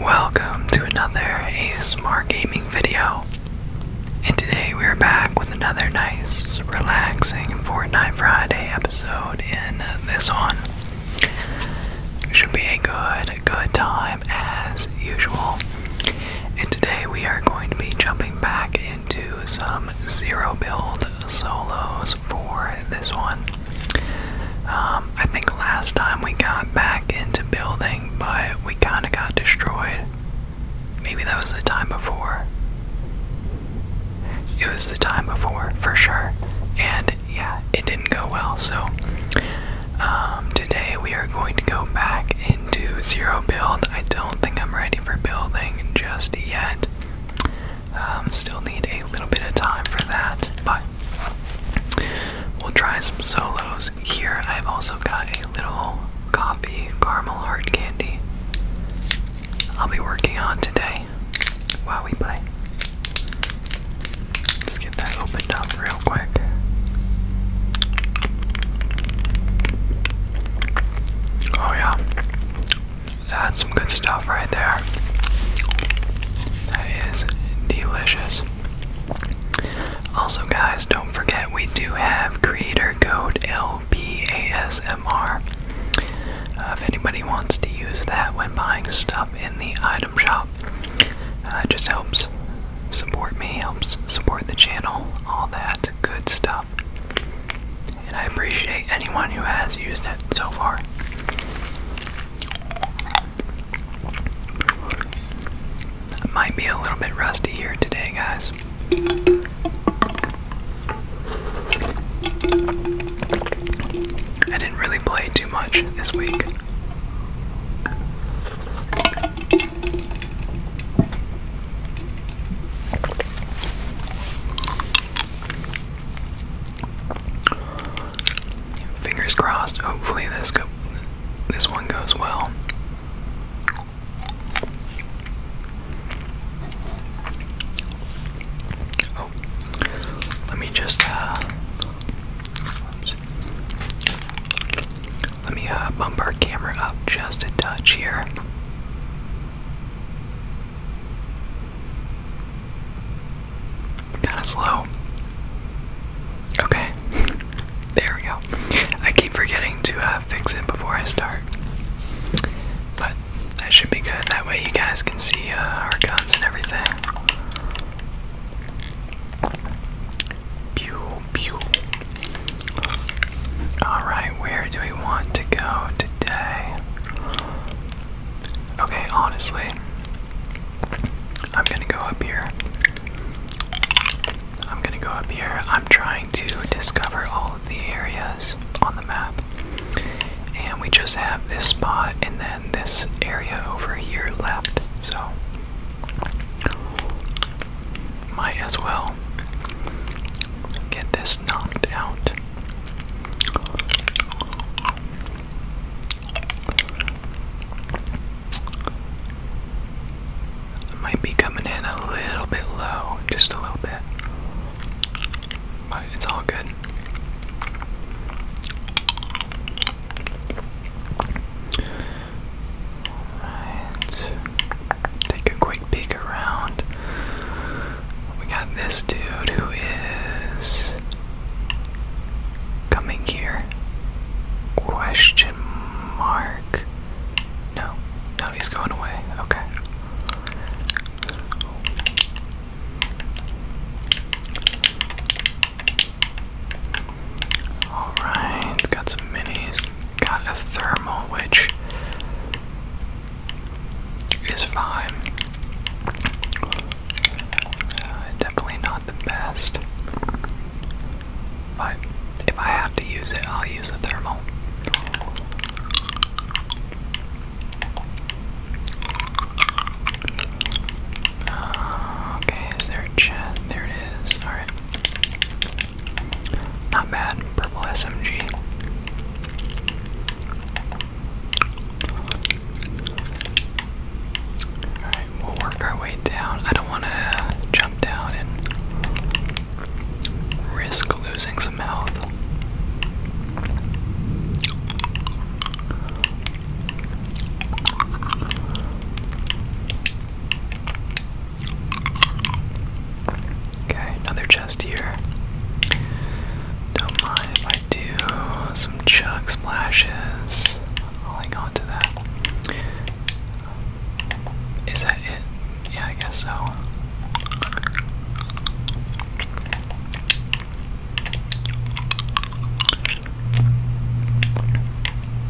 Welcome to another ASMR gaming video. And today we are back with another nice, relaxing Fortnite Friday episode in this one. Should be a good, good time as usual. And today we are going to be jumping back into some zero build solos for this one. Um, I think last time we got back into building, but we kind of got destroyed. Maybe that was the time before. It was the time before, for sure. And yeah, it didn't go well. So um, today we are going to go back into zero build. I don't think I'm ready for building just yet. Um, still need a little bit of time for that, but we'll try some solos here. I've also got a little coffee caramel heart candy I'll be working on today while we play. Let's get that opened up real quick. Oh, yeah. That's some good stuff right there. That is delicious. Also, guys, don't forget we do have creator code LBASMR. Uh, if anybody wants to use that when buying stuff in the item shop, uh, it just helps support me, helps support the channel, all that good stuff. And I appreciate anyone who has used it so far. I might be a little bit rusty here today, guys. I didn't really play too much this week. Fingers crossed. Hopefully this this one goes well. Oh, let me just uh, let me uh, bump our camera up just a touch here. Kinda slow. Okay. there we go. I keep forgetting to uh, fix it before I start. But that should be good. That way you guys can see uh, our guns and everything. Pew, pew. Alright, where do we want to go today? Okay, honestly, I'm gonna go up here. I'm gonna go up here. I'm trying to discover all of the areas on the map. And we just have this spot and then this area over here left. So, might as well get this knocked out. Might be coming in a little bit low, just a little bit. But it's all good. Alright. Take a quick peek around. We got this dude who is coming here. Question mark. No. No, he's going away. Okay. Alright, got some minis. Got a thermal, which is fine. Uh, definitely not the best. But if I have to use it, I'll use a thermal. Uh, okay, is there chat? There it is. Alright. Not bad. Purple SMG. Alright, we'll work our way down. I don't want to jump down and risk losing some health. Okay, another chest here. Don't mind if I do some chug splashes. i on to that. Is that it? Yeah, I guess so.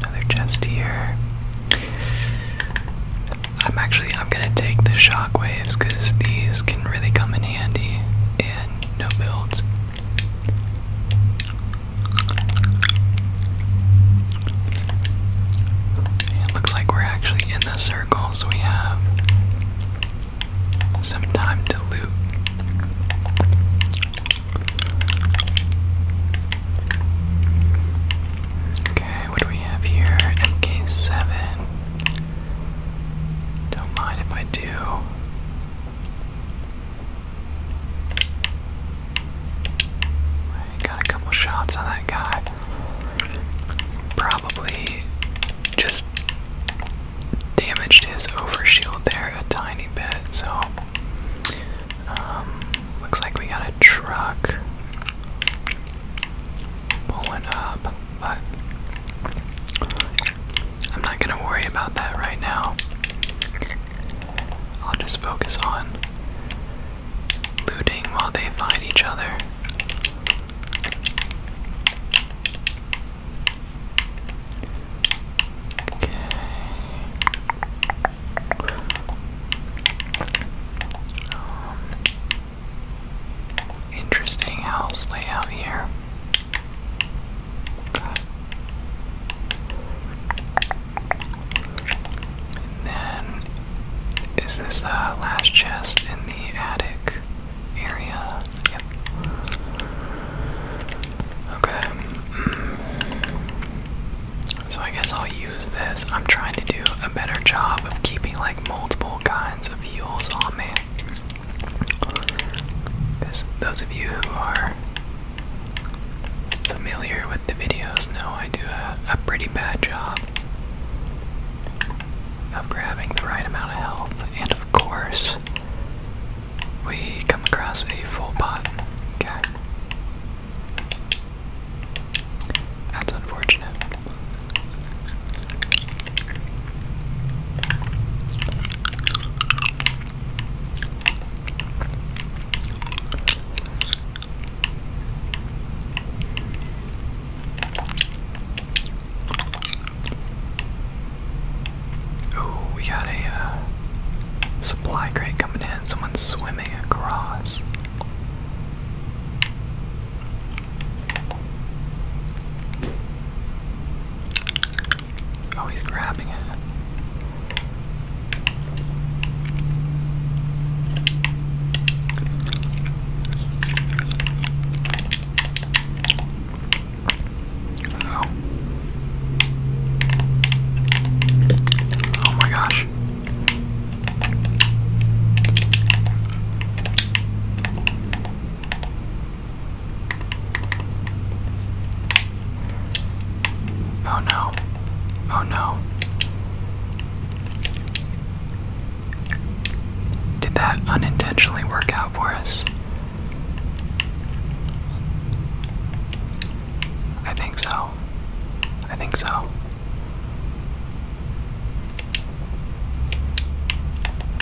Another chest here. I'm actually I'm gonna take the shockwaves because these can really come in and no builds. It looks like we're actually in the circle, we have some time to loot. Okay, what do we have here? MK7. Don't mind if I do. got a couple shots on that guy. Probably just damaged his overshield there a tiny bit, so um, looks like we got a truck pulling up but I'm not gonna worry about that right now. I'll just focus on looting while they fight each other. Okay. Um, Interesting house layout here. Okay. And then, is this the last chest in the attic area? Yep. Okay. Mm. So I guess I'll use this. I'm trying to do a better job of keeping like multiple kinds of heals on me those of you who are familiar with the videos know I do a, a pretty bad job of grabbing the right amount of health, and of course, we come across a full pot. Okay. That's unfortunate. Oh, we got a uh, supply crate coming in. Someone's swimming across. Oh, he's grabbing it. Oh. Oh my gosh. Oh no. Oh no. Did that unintentionally work out for us? I think so. I think so.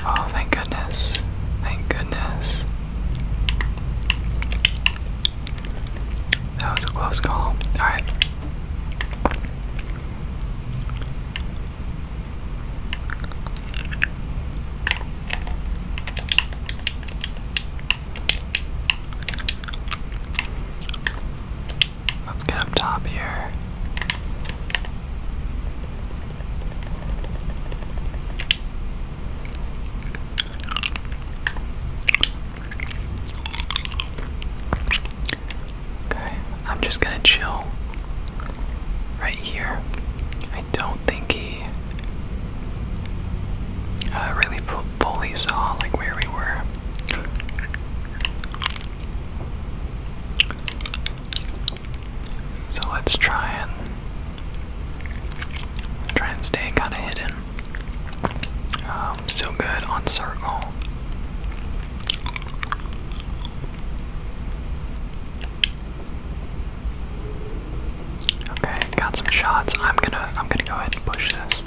Oh, thank goodness. Thank goodness. That was a close call. Alright. Let's get up top here. Okay, I'm just gonna chill right here. I don't think he uh, really fully saw like where we were. So let's try and try and stay kind of hidden. Um, still good on circle. Okay, got some shots. I'm gonna I'm gonna go ahead and push this.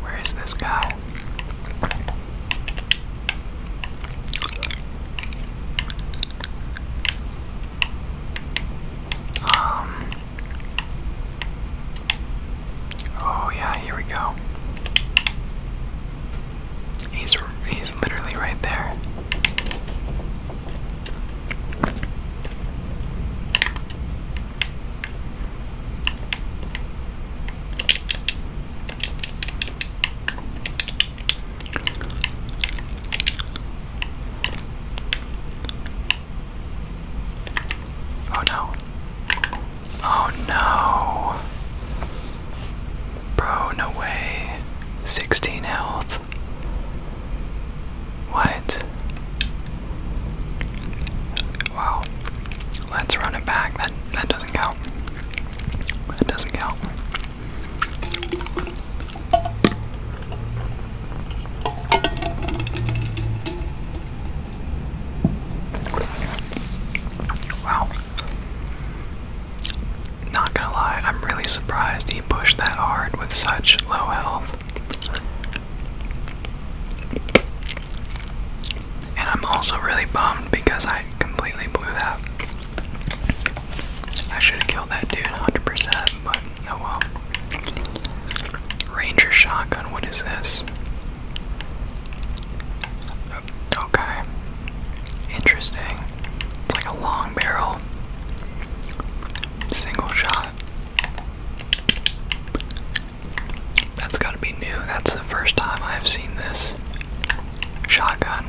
Where is this guy? Um Oh yeah, here we go. He's he's literally right there. Oh no. Oh no. Bro, no way. 16 health. What? Wow. Let's run it back. That that doesn't count. That doesn't count. Wow. Not gonna lie, I'm really surprised he pushed that hard with such low health. And I'm also really bummed because I completely blew that. I should have killed that dude 100 but oh well. Ranger shotgun, what is this? Okay. Interesting. It's like a long barrel. Single shot. That's gotta be new. That's the first time I've seen this shotgun.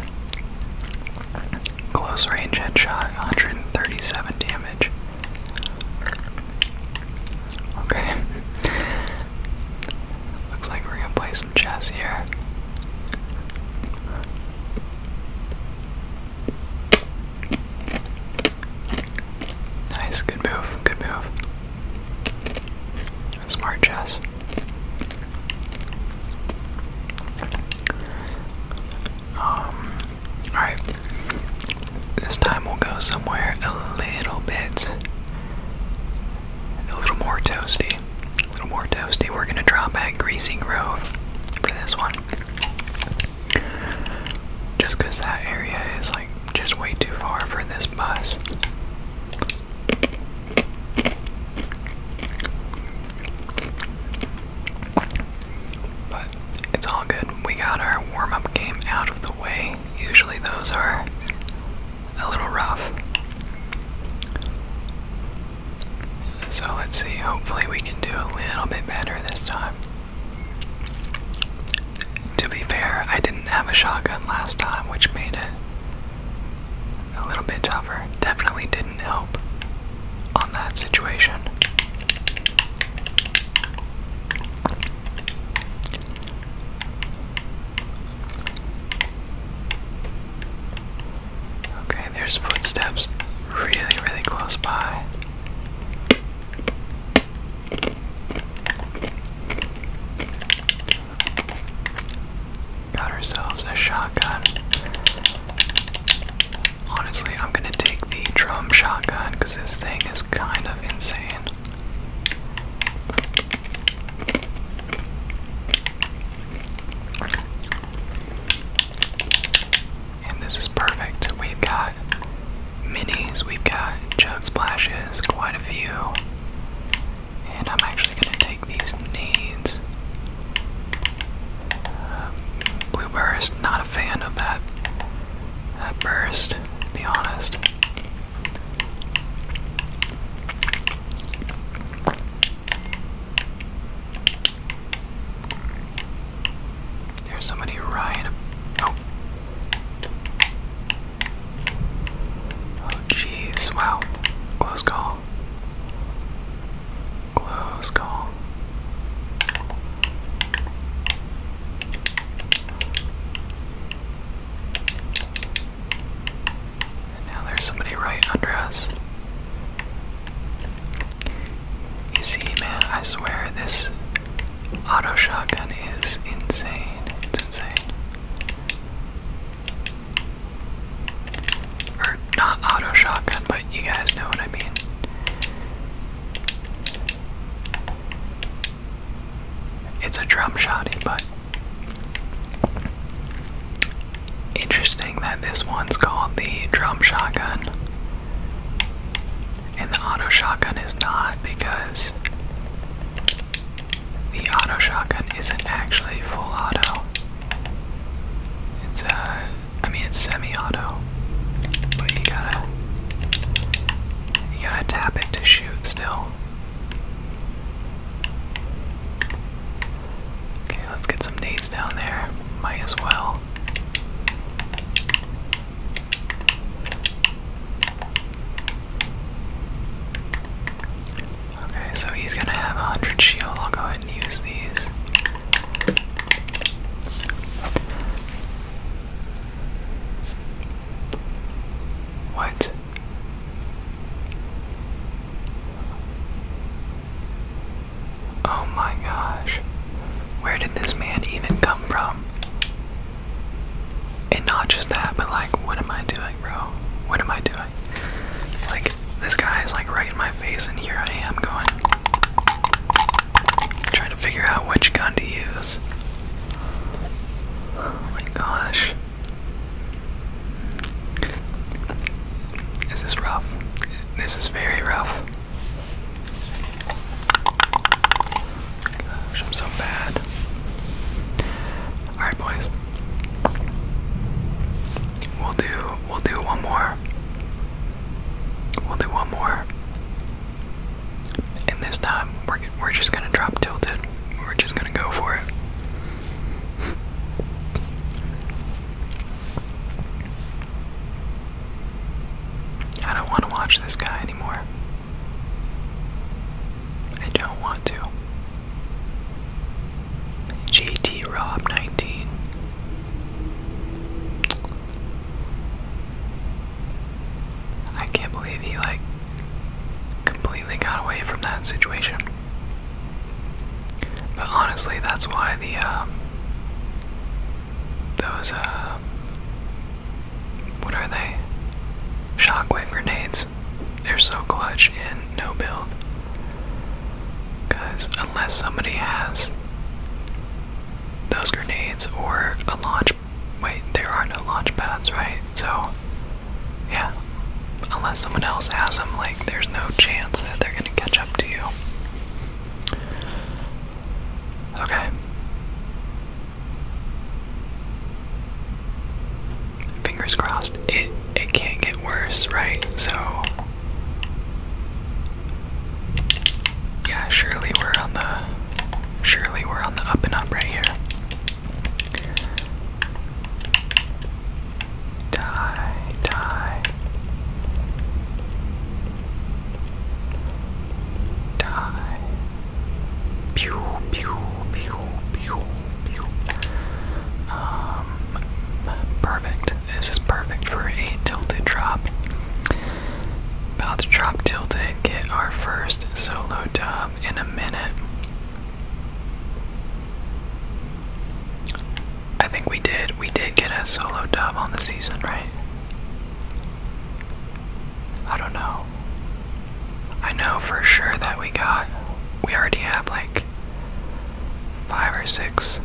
Close range headshot, 137 damage. Okay. Looks like we're gonna play some chess here. Nice, good move, good move. Smart chess. Um, alright. This time we'll go somewhere a little bit a little more toasty. A little more toasty. We're gonna drop at Greasy Grove for this one. Just because that area is like just way too far for this bus. But it's all good. We got our warm up game out of the way. Usually, those are a little rough. So let's see, hopefully, we can do a little bit better this time. To be fair, I didn't have a shotgun last time, which made it a little bit tougher. Definitely didn't help on that situation. Okay, there's footsteps really, really close by. Got ourselves a shotgun. Honestly, I'm gonna take the drum shotgun because this thing is kind of insane. And this is perfect. We've got minis, we've got jug splashes, quite a few. And I'm actually going to take these needs. Um, blue not a fan of that, that burst, be honest. There's somebody right. Oh. Oh, jeez. Wow. Close call. Close call. And now there's somebody right under us. You see, man, I swear this auto shotgun is insane. It's insane. Or not auto shotgun, but you guys know what I mean. It's a drum shotty, eh, but interesting that this one's called the drum shotgun. And the auto shotgun is not because the auto shotgun isn't actually full auto. It's uh I mean it's semi-auto. But you gotta you gotta tap it to still. Okay, let's get some nades down there. Might as well. Okay, so he's gonna have a 100 shield. I'll go ahead and use these. What? Oh my gosh. Where did this man even come from? And not just that, but like, what am I doing, bro? What am I doing? Like, this guy is like right in my face, and here I am going. Trying to figure out which gun to use. Oh my gosh. This is rough. This is very rough. I'm so bad. Alright boys. We'll do we'll do one more. We'll do one more. And this time, we're, we're just gonna drop tilted. We're just gonna go for it. I don't want to watch this guy anymore. I don't want to. JT Rob 19. I can't believe he like completely got away from that situation. But honestly, that's why the um, those uh, what are they? Shockwave grenades. They're so clutch and no build. Because unless somebody has those grenades or a launch Wait, there are no launch pads, right? So, yeah. Unless someone else has them, like, there's no chance that they're gonna catch up to you. Okay. Fingers crossed. It it can't get worse, right? So yeah, surely we're on the Surely we're on the up and up right here. Die, die. Die. Pew, pew, pew, pew, pew. Um, perfect. This is perfect for a tilted drop. About to drop tilted, get our first solo dub in a minute. I think we did. We did get a solo dub on the season, right? I don't know. I know for sure that we got. We already have like five or six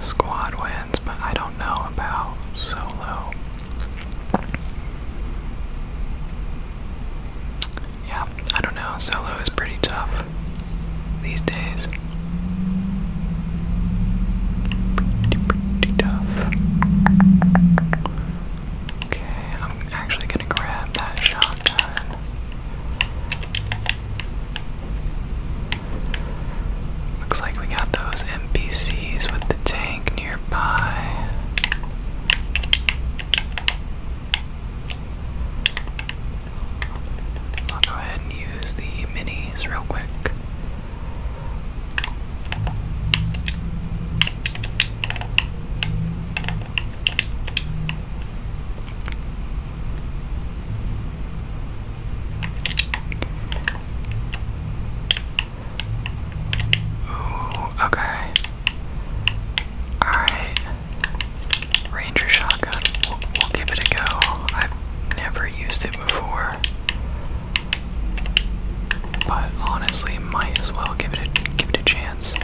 squad wins but I don't know about solo. Yeah, I don't know. Solo is pretty tough these days. Pretty, pretty tough. Okay, I'm actually gonna grab that shotgun. Looks like we got those NPCs with the tank nearby. I'll go ahead and use the minis real quick. Ooh, okay. Alright. Ranger shotgun. We'll, give it a go. I've never used it before. But honestly, might as well give it give it a chance.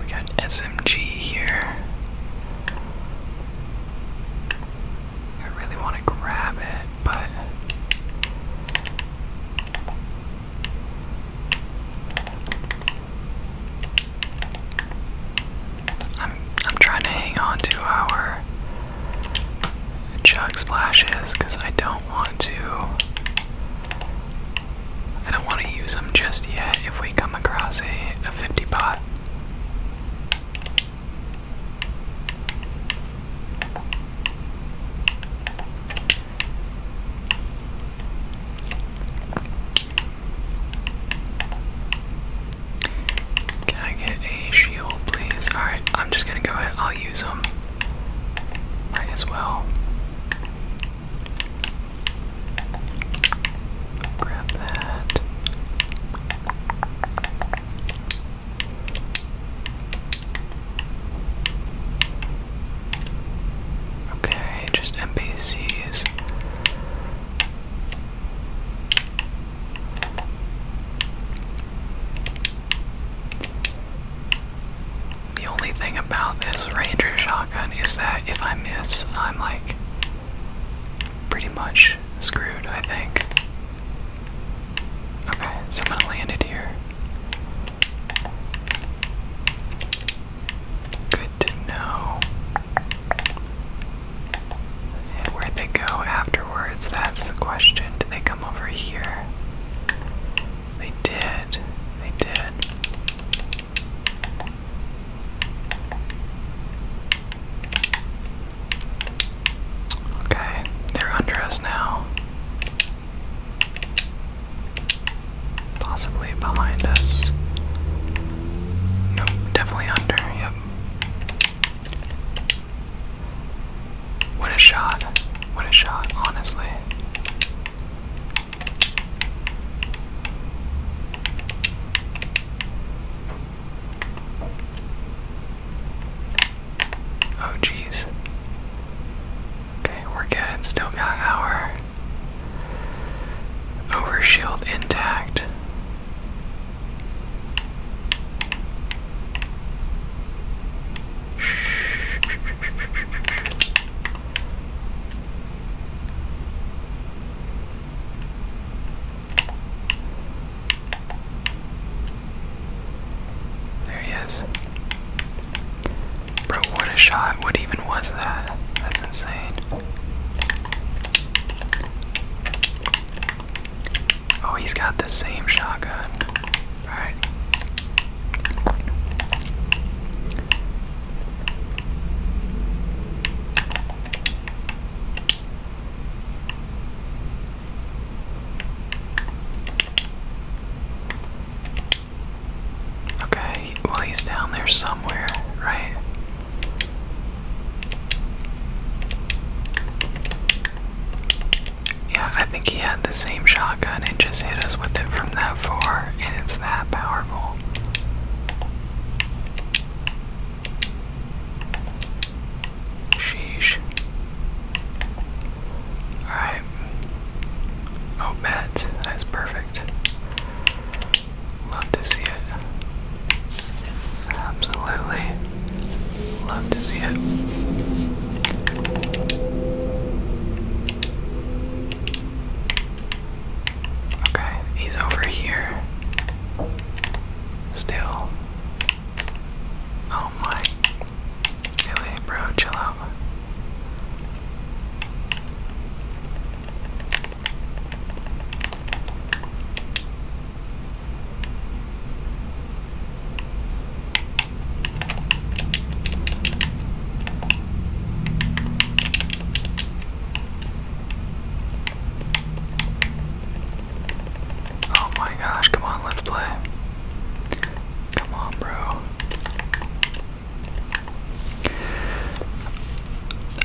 We got SMG here. I really want to grab it, but I'm I'm trying to hang on to our chug splashes because I don't want to I don't want to use them just yet if we come across a, a 50 pot. Can I get a shield, please? Alright, I'm just gonna go ahead. I'll use them. Might as well. Grab that. Okay, just MPCs. The only thing about this Ranger shotgun is that if I miss, I'm like pretty much screwed, I think. Okay, so I'm gonna land it here. Good to know. And where they go afterwards, that's the question. Did they come over here? They did. They did. Okay, they're under us now. Possibly behind us. Nope, definitely under, yep. What a shot. What a shot, honestly. Oh, jeez. Okay, we're good. Still got our over shield intact. There he is. Bro, what a shot. What even was that? That's insane. Oh, he's got the same shotgun. Alright. Okay, well, he's down there somewhere, right? Yeah, I think he had the same shotgun and just hit us with it from that that and it's that powerful. Sheesh. Alright. Oh, Matt, that's perfect. Love to see it. Absolutely. Love to see it. Okay, he's over here. Still. Oh my. Really, bro, chill out. Oh my gosh, come on, let's play. Come on, bro.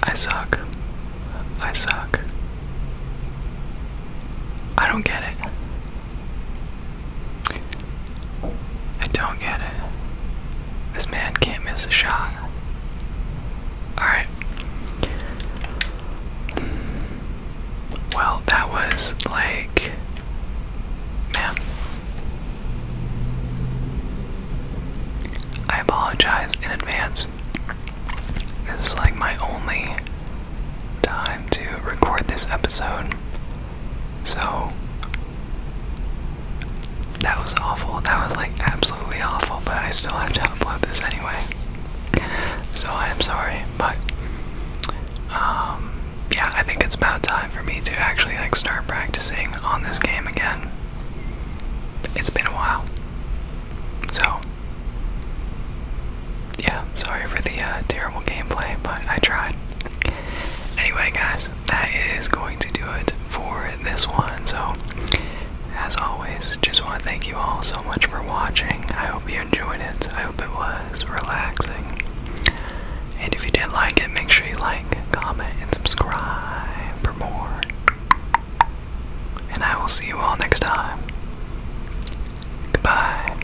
I suck. I suck. I don't get it. I don't get it. This man can't miss a shot. Alright. Well, that was like. Man. I apologize in advance. This is like my only time to record this episode. So that was awful. That was like absolutely awful, but I still have to upload this anyway. So I am sorry, but um, yeah, I think it's about time for me to actually like start practicing on this game again. It's been a while. So yeah, sorry for the uh, terrible gameplay, but I tried. Anyway, guys, that is going to do it for this one. So, as always, just want to thank you all so much for watching. I hope you enjoyed it. I hope it was relaxing. And if you did like it, make sure you like, comment, and subscribe for more. And I will see you all next time. Goodbye.